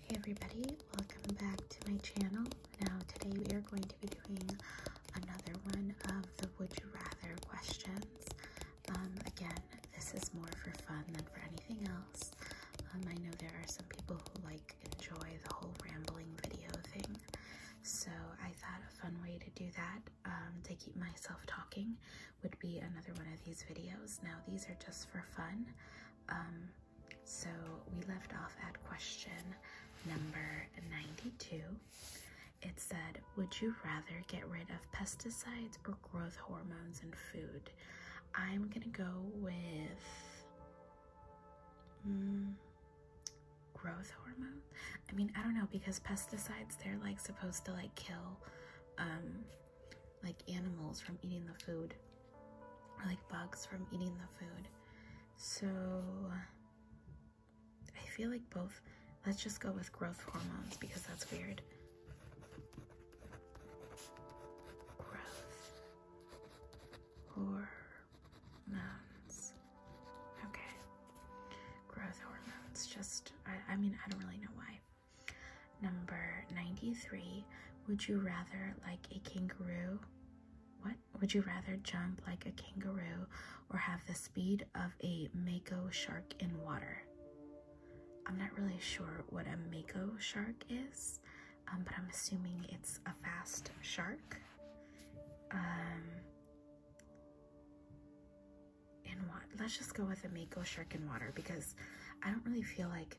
Hey everybody, welcome back to my channel. Now today we are going to be doing another one of the would you rather questions. Um, again, this is more for fun than for anything else. Um, I know there are some people who like enjoy the whole rambling video thing. So I thought a fun way to do that um, to keep myself talking would be another one of these videos. Now, these are just for fun. Um, so we left off at question number 92. It said, Would you rather get rid of pesticides or growth hormones in food? I'm gonna go with mm, growth hormone. I mean, I don't know because pesticides they're like supposed to like kill um, like animals from eating the food, or like bugs from eating the food. So I feel like both. Let's just go with growth hormones because that's weird. Growth hormones. Okay. Growth hormones. Just, I, I mean, I don't really know why. Number 93. Would you rather like a kangaroo? What? Would you rather jump like a kangaroo or have the speed of a mako shark in water? I'm not really sure what a mako shark is, um, but I'm assuming it's a fast shark. Um, and water. Let's just go with a mako shark and water because I don't really feel like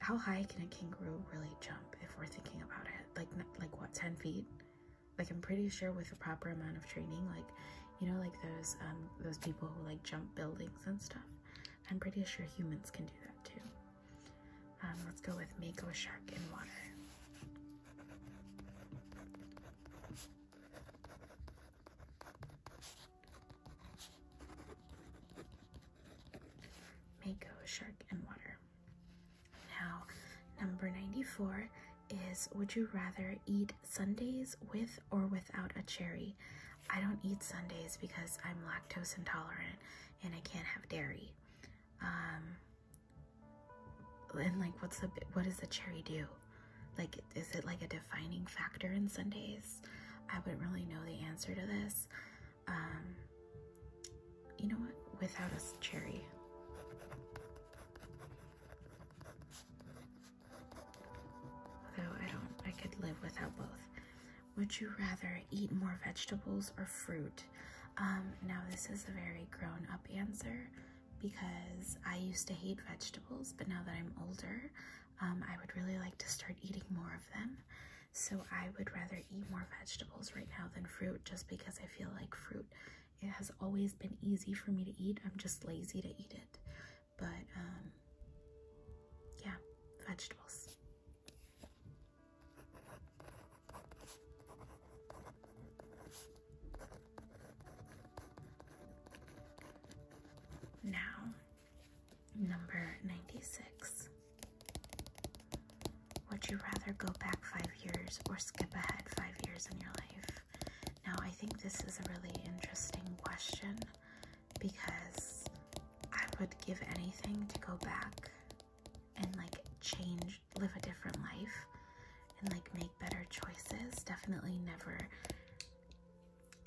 how high can a kangaroo really jump if we're thinking about it? Like, like what, 10 feet? Like, I'm pretty sure with the proper amount of training, like, you know, like those, um, those people who like jump buildings and stuff. I'm pretty sure humans can do that too. Um, let's go with mako shark in water. Mako, shark, and water. Now, number 94 is Would you rather eat Sundays with or without a cherry? I don't eat Sundays because I'm lactose intolerant and I can't have dairy. Um, and like, what's the what does the cherry do? Like, is it like a defining factor in Sundays? I wouldn't really know the answer to this. Um, you know what? Without a cherry. Although I don't, I could live without both. Would you rather eat more vegetables or fruit? Um, now this is a very grown up answer because I used to hate vegetables, but now that I'm older, um, I would really like to start eating more of them. So I would rather eat more vegetables right now than fruit just because I feel like fruit it has always been easy for me to eat. I'm just lazy to eat it. But um yeah, vegetables. Now, number 96. Would you rather go back five years or skip ahead five years in your life? Now, I think this is a really interesting question because I would give anything to go back and like change, live a different life, and like make better choices. Definitely never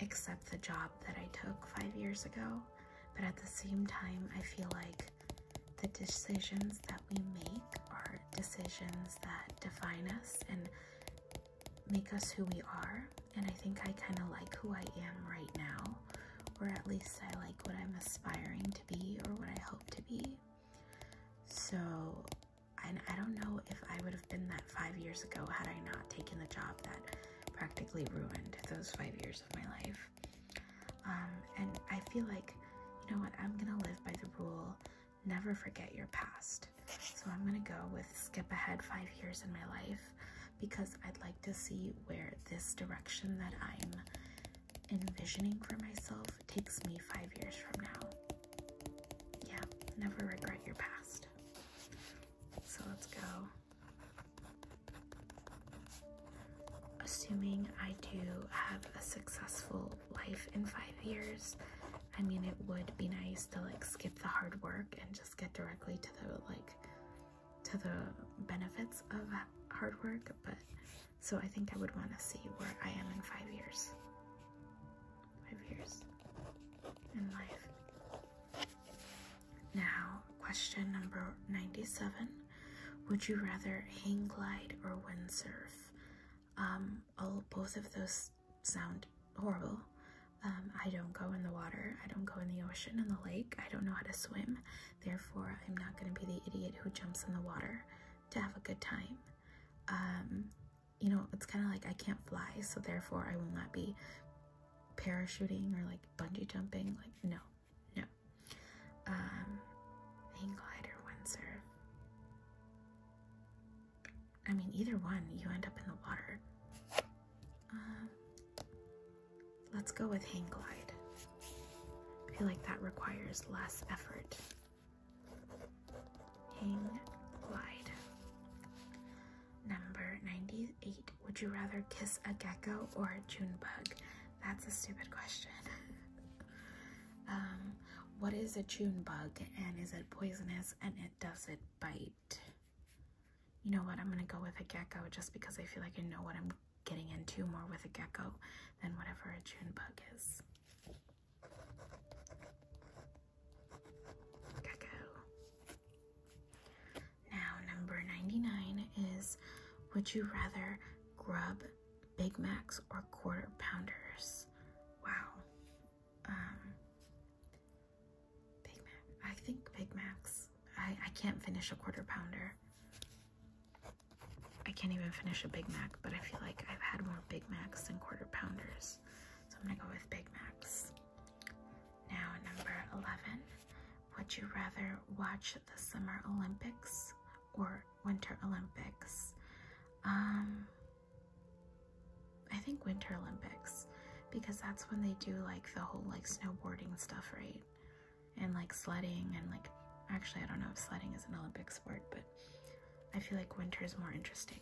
accept the job that I took five years ago, but at the same time, I feel like the decisions that we make are decisions that define us and make us who we are. And I think I kind of like who I am right now, or at least I like what I'm aspiring to be or what I hope to be. So and I don't know if I would have been that five years ago had I not taken the job that practically ruined those five years of my life. Um, and I feel like, you know what, I'm gonna live by the rule never forget your past. So I'm gonna go with skip ahead five years in my life because I'd like to see where this direction that I'm envisioning for myself takes me five years from now. Yeah, never regret your past. So let's go. Assuming I do have a successful life in five years, I mean, it would be nice to like skip the hard work and just get directly to the like to the benefits of hard work, but so I think I would want to see where I am in five years five years in life. Now, question number 97 Would you rather hang glide or windsurf? Um, all, both of those sound horrible. Um, I don't go in the water, I don't go in the ocean and the lake, I don't know how to swim, therefore, I'm not going to be the idiot who jumps in the water to have a good time. Um, you know, it's kind of like I can't fly, so therefore I will not be parachuting or like bungee jumping. Like, no, no. Um, hang glider, windsurf. I mean, either one, you end up in the water. Um, let's go with hang glide. I feel like that requires less effort. Hang glide. Number 98. Would you rather kiss a gecko or a June bug? That's a stupid question. um, what is a June bug and is it poisonous and it does it bite? You know what? I'm gonna go with a gecko just because I feel like I know what I'm getting into more with a gecko than whatever a June bug is. Now, number 99 is Would you rather grub Big Macs or quarter pounders? Wow. Um, Big Mac. I think Big Macs. I, I can't finish a quarter pounder. I can't even finish a Big Mac but I feel like I've had more Big Macs than quarter pounders. So I'm gonna go with Big Macs. Now, number 11. Would you rather watch the Summer Olympics or Winter Olympics? Um, I think Winter Olympics because that's when they do like the whole like snowboarding stuff, right? And like sledding and like, actually, I don't know if sledding is an Olympic sport, but I feel like winter is more interesting.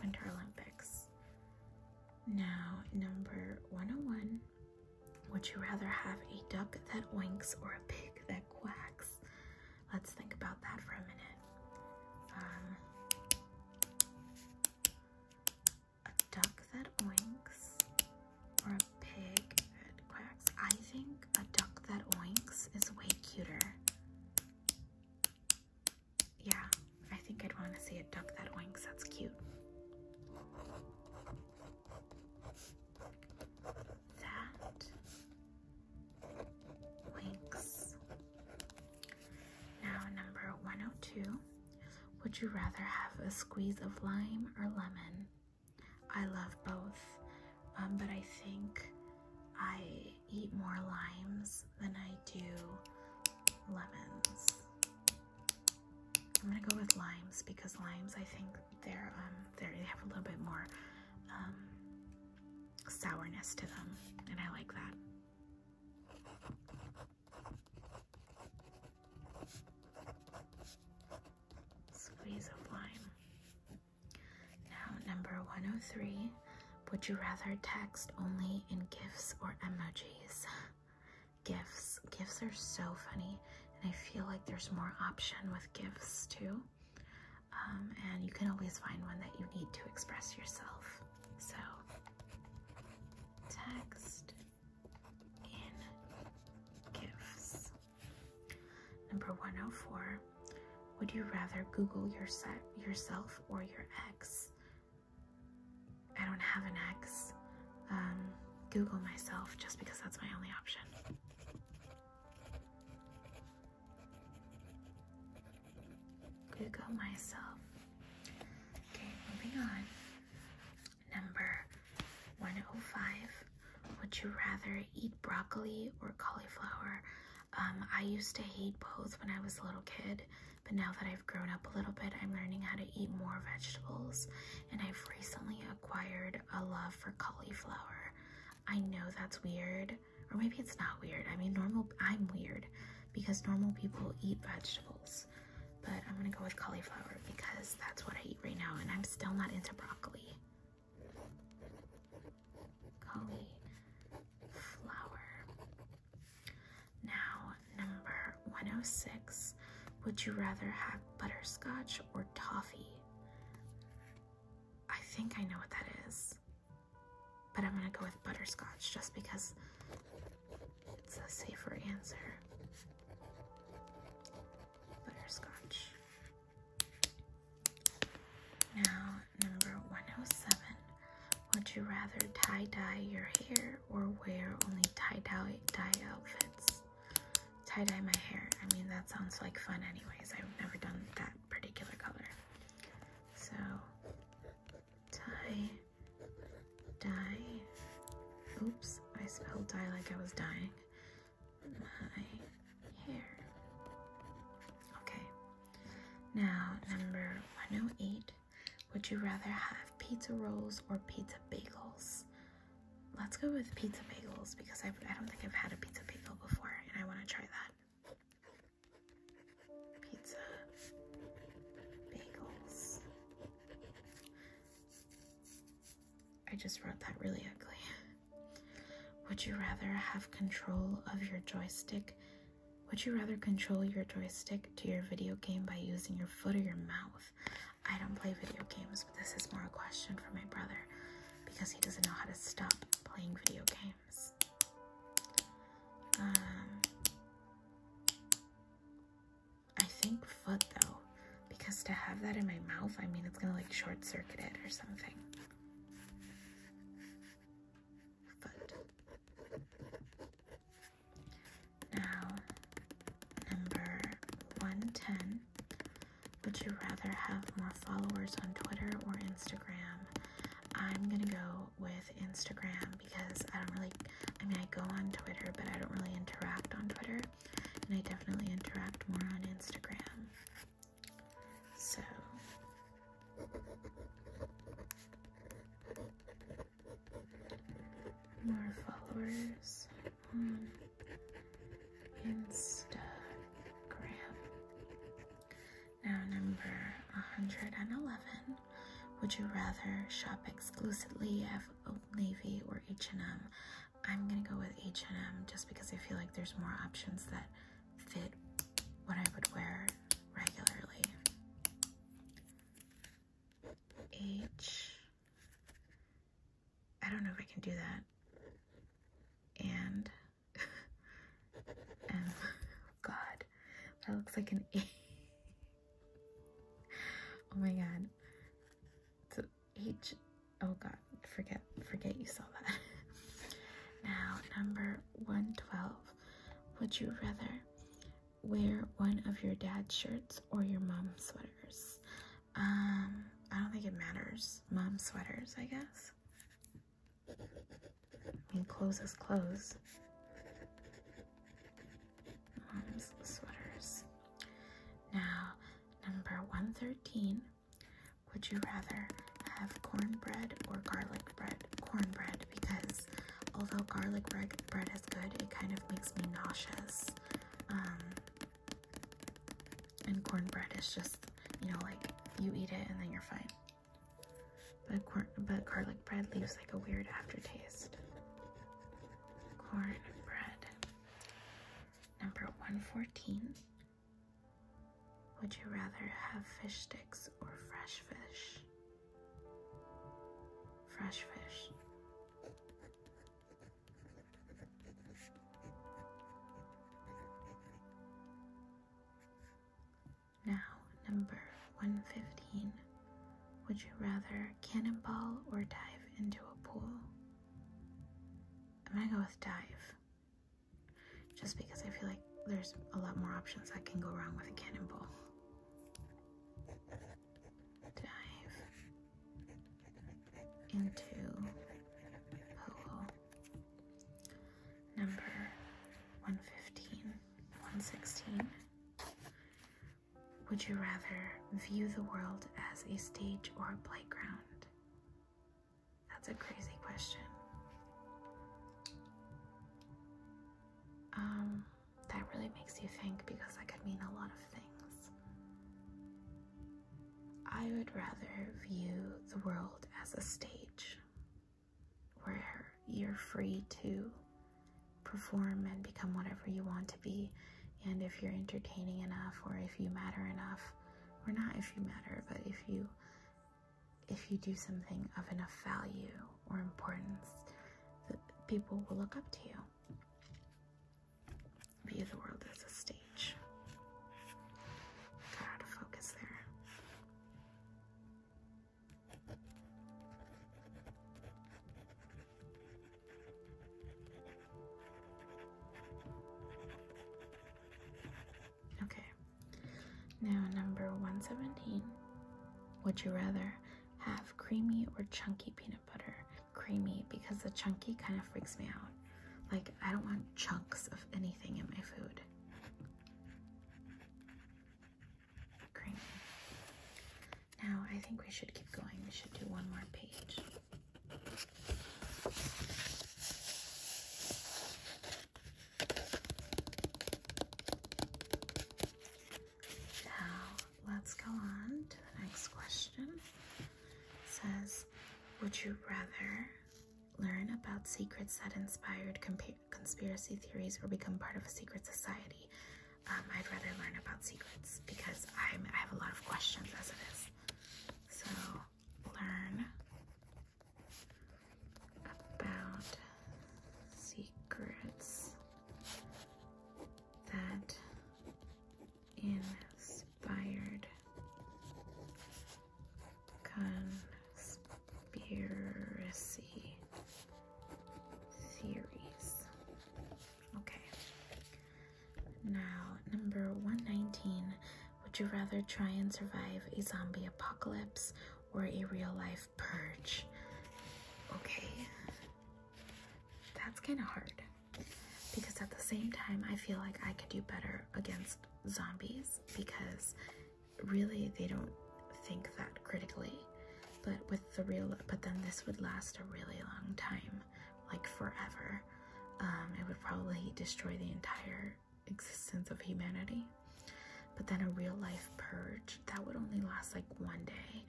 Winter Olympics. Now, number 101. Would you rather have a duck that winks or a pig that quacks? Let's think about that for a minute. Um, a duck that oinks or a pig that quacks. I think a duck that oinks is way cuter. Yeah, I think I'd want to see a duck that oinks. That's cute. That winks. Now, number 102. Would you rather have a squeeze of lime or lemon? I love both, um, but I think I eat more limes than I do lemons. I'm gonna go with limes because limes, I think they're um, they have a little bit more um, sourness to them, and I like that. Squeeze of lime. Now, number 103. Would you rather text only in GIFs or emojis? GIFs. GIFs are so funny, and I feel like there's more option with GIFs too. Um, and you can always find one that you need to express yourself. So, text in gifts. Number 104. Would you rather Google yourself, or your ex? I don't have an ex. Um, Google myself just because that's my only option. Google myself. Okay, moving on. Number 105. Would you rather eat broccoli or cauliflower? Um, I used to hate both when I was a little kid, but now that I've grown up a little bit, I'm learning how to eat more vegetables, and I've recently acquired a love for cauliflower. I know that's weird, or maybe it's not weird. I mean, normal, I'm weird because normal people eat vegetables but I'm gonna go with cauliflower because that's what I eat right now, and I'm still not into broccoli. Cauliflower. Now, number 106. Would you rather have butterscotch or toffee? I think I know what that is, but I'm gonna go with butterscotch just because it's a safer answer. Butterscotch. Now, number 107. Would you rather tie dye your hair or wear only tie dye, outfits? Tie dye my hair. I mean, that sounds like fun, anyways. I've never done that particular color. So, Die, die. Oops, I spelled die like I was dying. My hair. Okay. Now, number 108. Would you rather have pizza rolls or pizza bagels? Let's go with pizza bagels because i I i do not think I've had a pizza bagel before and I want to try that pizza, bagels. I just wrote that really ugly. Would you rather have control of your joystick? Would you rather control your joystick to your video game by using your foot or your mouth? I don't play video games, but this is more a question for my brother because he doesn't know how to stop playing video games. Um, I think foot though, because to have that in my mouth, I mean, it's gonna like short circuit it or something. Foot. Now, number 110. Would you rather have more followers on Twitter or Instagram? I'm gonna go with Instagram because I don't really, I mean, I go on Twitter, but I don't really interact on Twitter, and I definitely interact more on Instagram. So, more followers on Instagram. Now, number 111. Would you rather shop exclusively at Old Navy or H&M? I'm gonna go with H&M just because I feel like there's more options that fit what I would wear regularly. H. I don't know if I can do that. And M. God. That looks like an eight. oh my god. It's an H. Oh god, forget, forget you saw that. now, number 112. Would you rather wear one of your dad's shirts or your mom's sweaters? Um, I don't think it matters. Mom sweaters, I guess. I mean, clothes is clothes. sweaters. Now, number 113. Would you rather have cornbread or garlic bread? Cornbread, because although garlic bread, bread is good, it kind of makes me nauseous. Um, and cornbread is just, you know, like you eat it and then you're fine. But, corn, but garlic bread leaves like a weird aftertaste. Corn bread. Number 114. Would you rather have fish sticks or fresh fish? Fresh fish. Now, number 115. Would you rather cannonball or dive into a pool? I'm gonna go with dive. Just because I feel like there's a lot more options that can go wrong with a cannonball. Dive into pool number 115, 116. Would you rather view the world as a stage or a playground? That's a crazy question. Um, that really makes you think because that could mean a lot of things. I would rather view the world as a stage where you're free to perform and become whatever you want to be. And if you're entertaining enough, or if you matter enough, or not if you matter, but if you if you do something of enough value or importance, that people will look up to you. View the world as a stage. Got out of focus there. Okay, now number 117. Would you rather have creamy or chunky peanut butter? Creamy because the chunky kind of freaks me out. Like, I don't want chunks of anything in my food. Now I think we should keep going. We should do one more page. Now let's go on to the next question. It says, would you rather Learn about secrets that inspired conspiracy theories or become part of a secret society. Um, I'd rather learn about secrets because I'm, I have a lot of questions as it is. So, learn about secrets that inspired conspiracy theories. Okay. Now, number 119. Would you rather try and survive a zombie apocalypse or a real life purge? Okay. That's kind of hard because at the same time, I feel like I could do better against zombies because really they don't think that critically. But with the real, but then this would last a really long time, like forever. Um, it would probably destroy the entire existence of humanity. But then a real life purge that would only last like one day,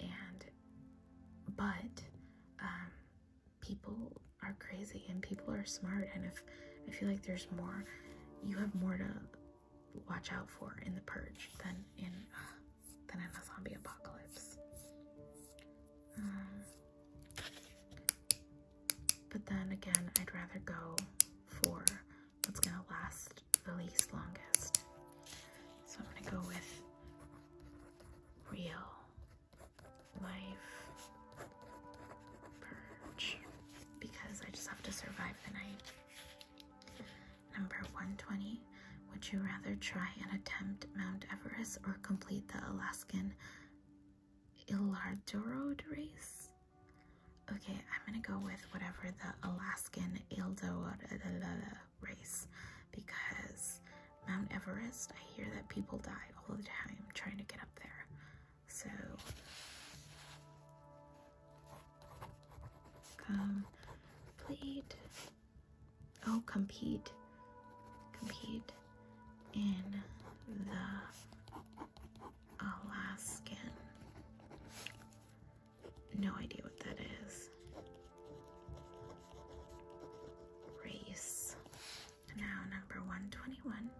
and but um, people are crazy and people are smart and if I feel like there's more you have more to watch out for in the purge than in uh, than in a zombie apocalypse. Um, but then again, I'd rather go for what's gonna last the least longest. So I'm gonna go with real life purge because I just have to survive the night. Number 120. Would you rather try and attempt Mount Everest or complete the Alaskan Ildorado race? Okay, I'm gonna go with whatever the Alaskan Ildorado race because Mount Everest, I hear that people die all the time trying to get up there. So complete. Oh, compete. Compete in the Alaskan. No idea what that is. Race. Now, number 121.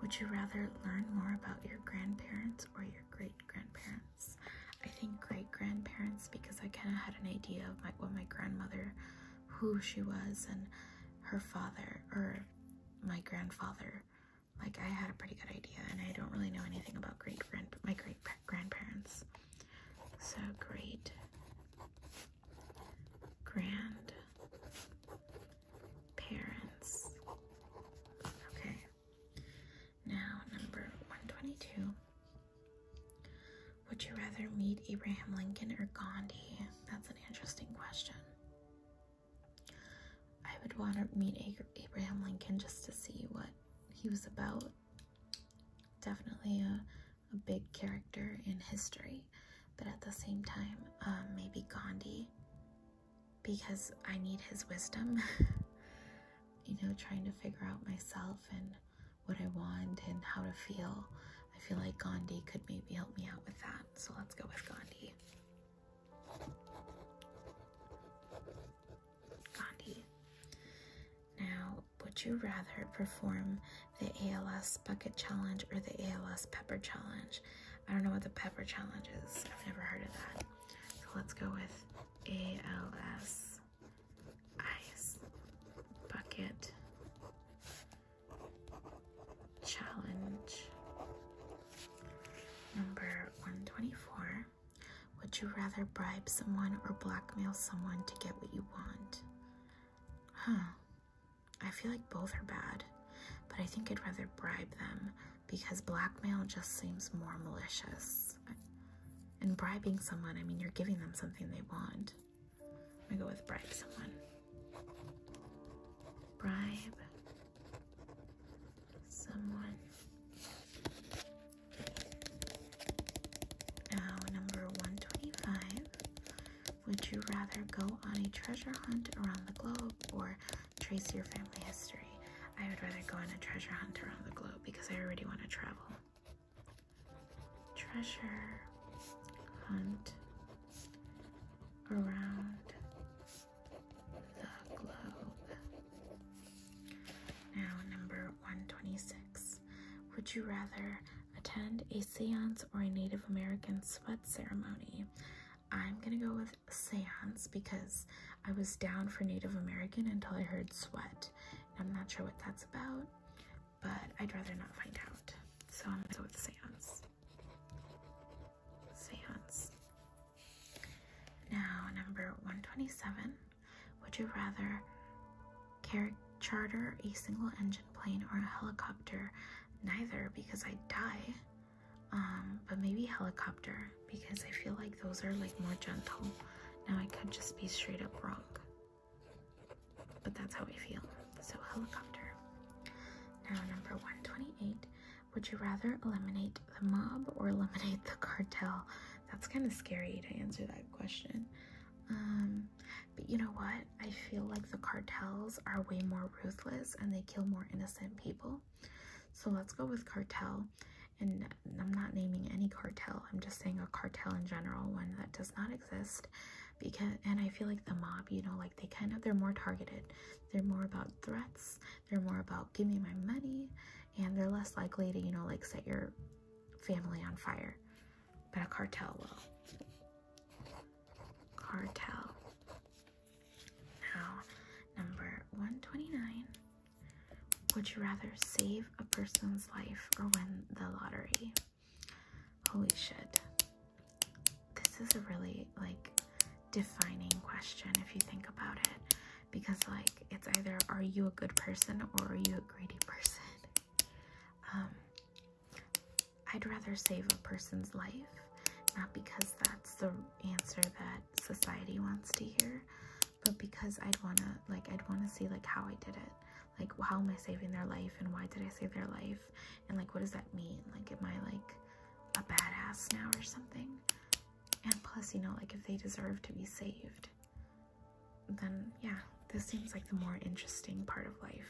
Would you rather learn more about your grandparents or your great grandparents? I think great grandparents because I kind of had an idea of my, what my grandmother, who she was, and her father or my grandfather. Like I had a pretty good idea, and I don't really know anything about great grand my great grandparents. So great Grandparents. Okay. Now number 122. Would you rather meet Abraham Lincoln or Gandhi? That's an interesting question. I would want to meet Abraham Lincoln just to see what he was about. Definitely a a big character in history, but at the same time, um, maybe Gandhi, because I need his wisdom. you know, trying to figure out myself and what I want and how to feel. I feel like Gandhi could maybe help me out with that. So let's go with Gandhi. Gandhi. Now, would you rather perform the ALS bucket challenge or the ALS pepper challenge. I don't know what the pepper challenge is. I've never heard of that. So let's go with ALS ice bucket challenge number 124. Would you rather bribe someone or blackmail someone to get what you want? Huh. I feel like both are bad, but I think I'd rather bribe them because blackmail just seems more malicious. And bribing someone, I mean, you're giving them something they want. I'm gonna go with bribe someone. Bribe someone. Now, number 125 would you rather go on a treasure hunt around the globe or trace your family history? I would rather go on a treasure hunt around the globe because I already want to travel. Treasure hunt around the globe. Now, number 126. Would you rather attend a seance or a Native American sweat ceremony. I'm gonna go with seance because I was down for Native American until I heard sweat. I'm not sure what that's about, but I'd rather not find out. So I'm gonna go with seance. Seance. Now, number 127. Would you rather charter a single engine plane or a helicopter. Neither because I die. Um, but maybe helicopter because I feel like those are like more gentle. Now I could just be straight up wrong. But that's how I feel. So helicopter. Now number 128. Would you rather eliminate the mob or eliminate the cartel? That's kind of scary to answer that question. Um, but you know what? I feel like the cartels are way more ruthless and they kill more innocent people. So let's go with cartel. And I'm not naming any cartel. I'm just saying a cartel in general, one that does not exist. Because and I feel like the mob, you know, like they kind of they're more targeted. They're more about threats. They're more about give me my money, and they're less likely to you know like set your family on fire but a cartel will. Cartel. Now, number 129. Would you rather save a person's life or win the lottery? Holy shit. This is a really like defining question if you think about it because like it's either are you a good person or are you a greedy person um, I'd rather save a person's life, not because that's the answer that society wants to hear, but because I'd wanna like I'd wanna see like how I did it. Like how am I saving their life and why did I save their life? And like what does that mean? Like am I like a badass now or something? And plus, you know, like if they deserve to be saved, then yeah, this seems like the more interesting part of life.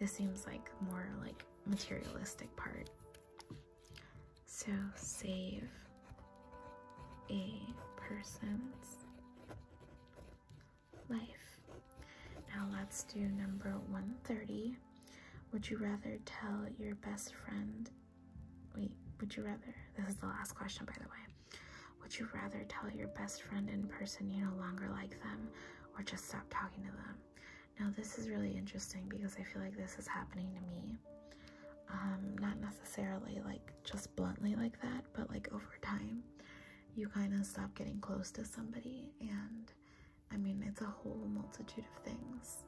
This seems like more like materialistic part. So save a person's life. Now let's do number 130. Would you rather tell your best friend? Wait, would you rather? This is the last question, by the way. Would you rather tell your best friend in person you no longer like them or just stop talking to them? Now, this is really interesting because I feel like this is happening to me. Um, not necessarily like just bluntly like that, but like over time, you kind of stop getting close to somebody. And I mean, it's a whole multitude of things.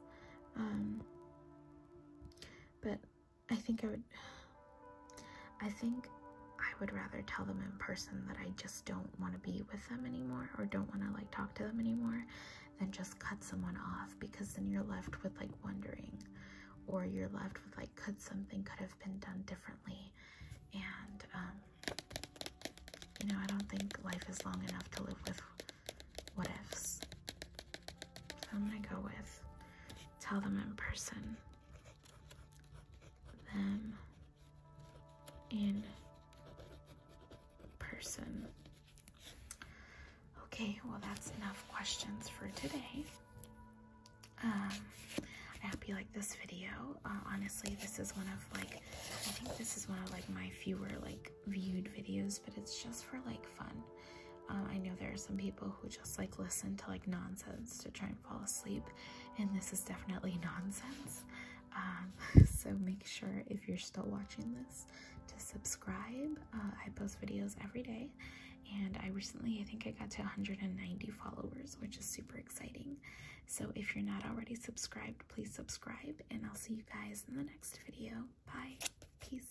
Um, but I think I would. I think I would rather tell them in person that I just don't want to be with them anymore or don't want to like talk to them anymore than just cut someone off because then you're left with like wondering or you're left with like could something could have been done differently and um, you know I don't think life is long enough to live with what ifs I'm gonna go with tell them in person them in person. Okay, well, that's enough questions for today. Um, I hope you like this video. Uh, honestly, this is one of like, I think this is one of like my fewer like viewed videos, but it's just for like fun. Um, I know there are some people who just like listen to like nonsense to try and fall asleep, and this is definitely nonsense. Um, so make sure if you're still watching this to subscribe. Uh, I post videos every day, and I recently, I think I got to 190 followers, which is super exciting. So if you're not already subscribed, please subscribe, and I'll see you guys in the next video. Bye. Peace.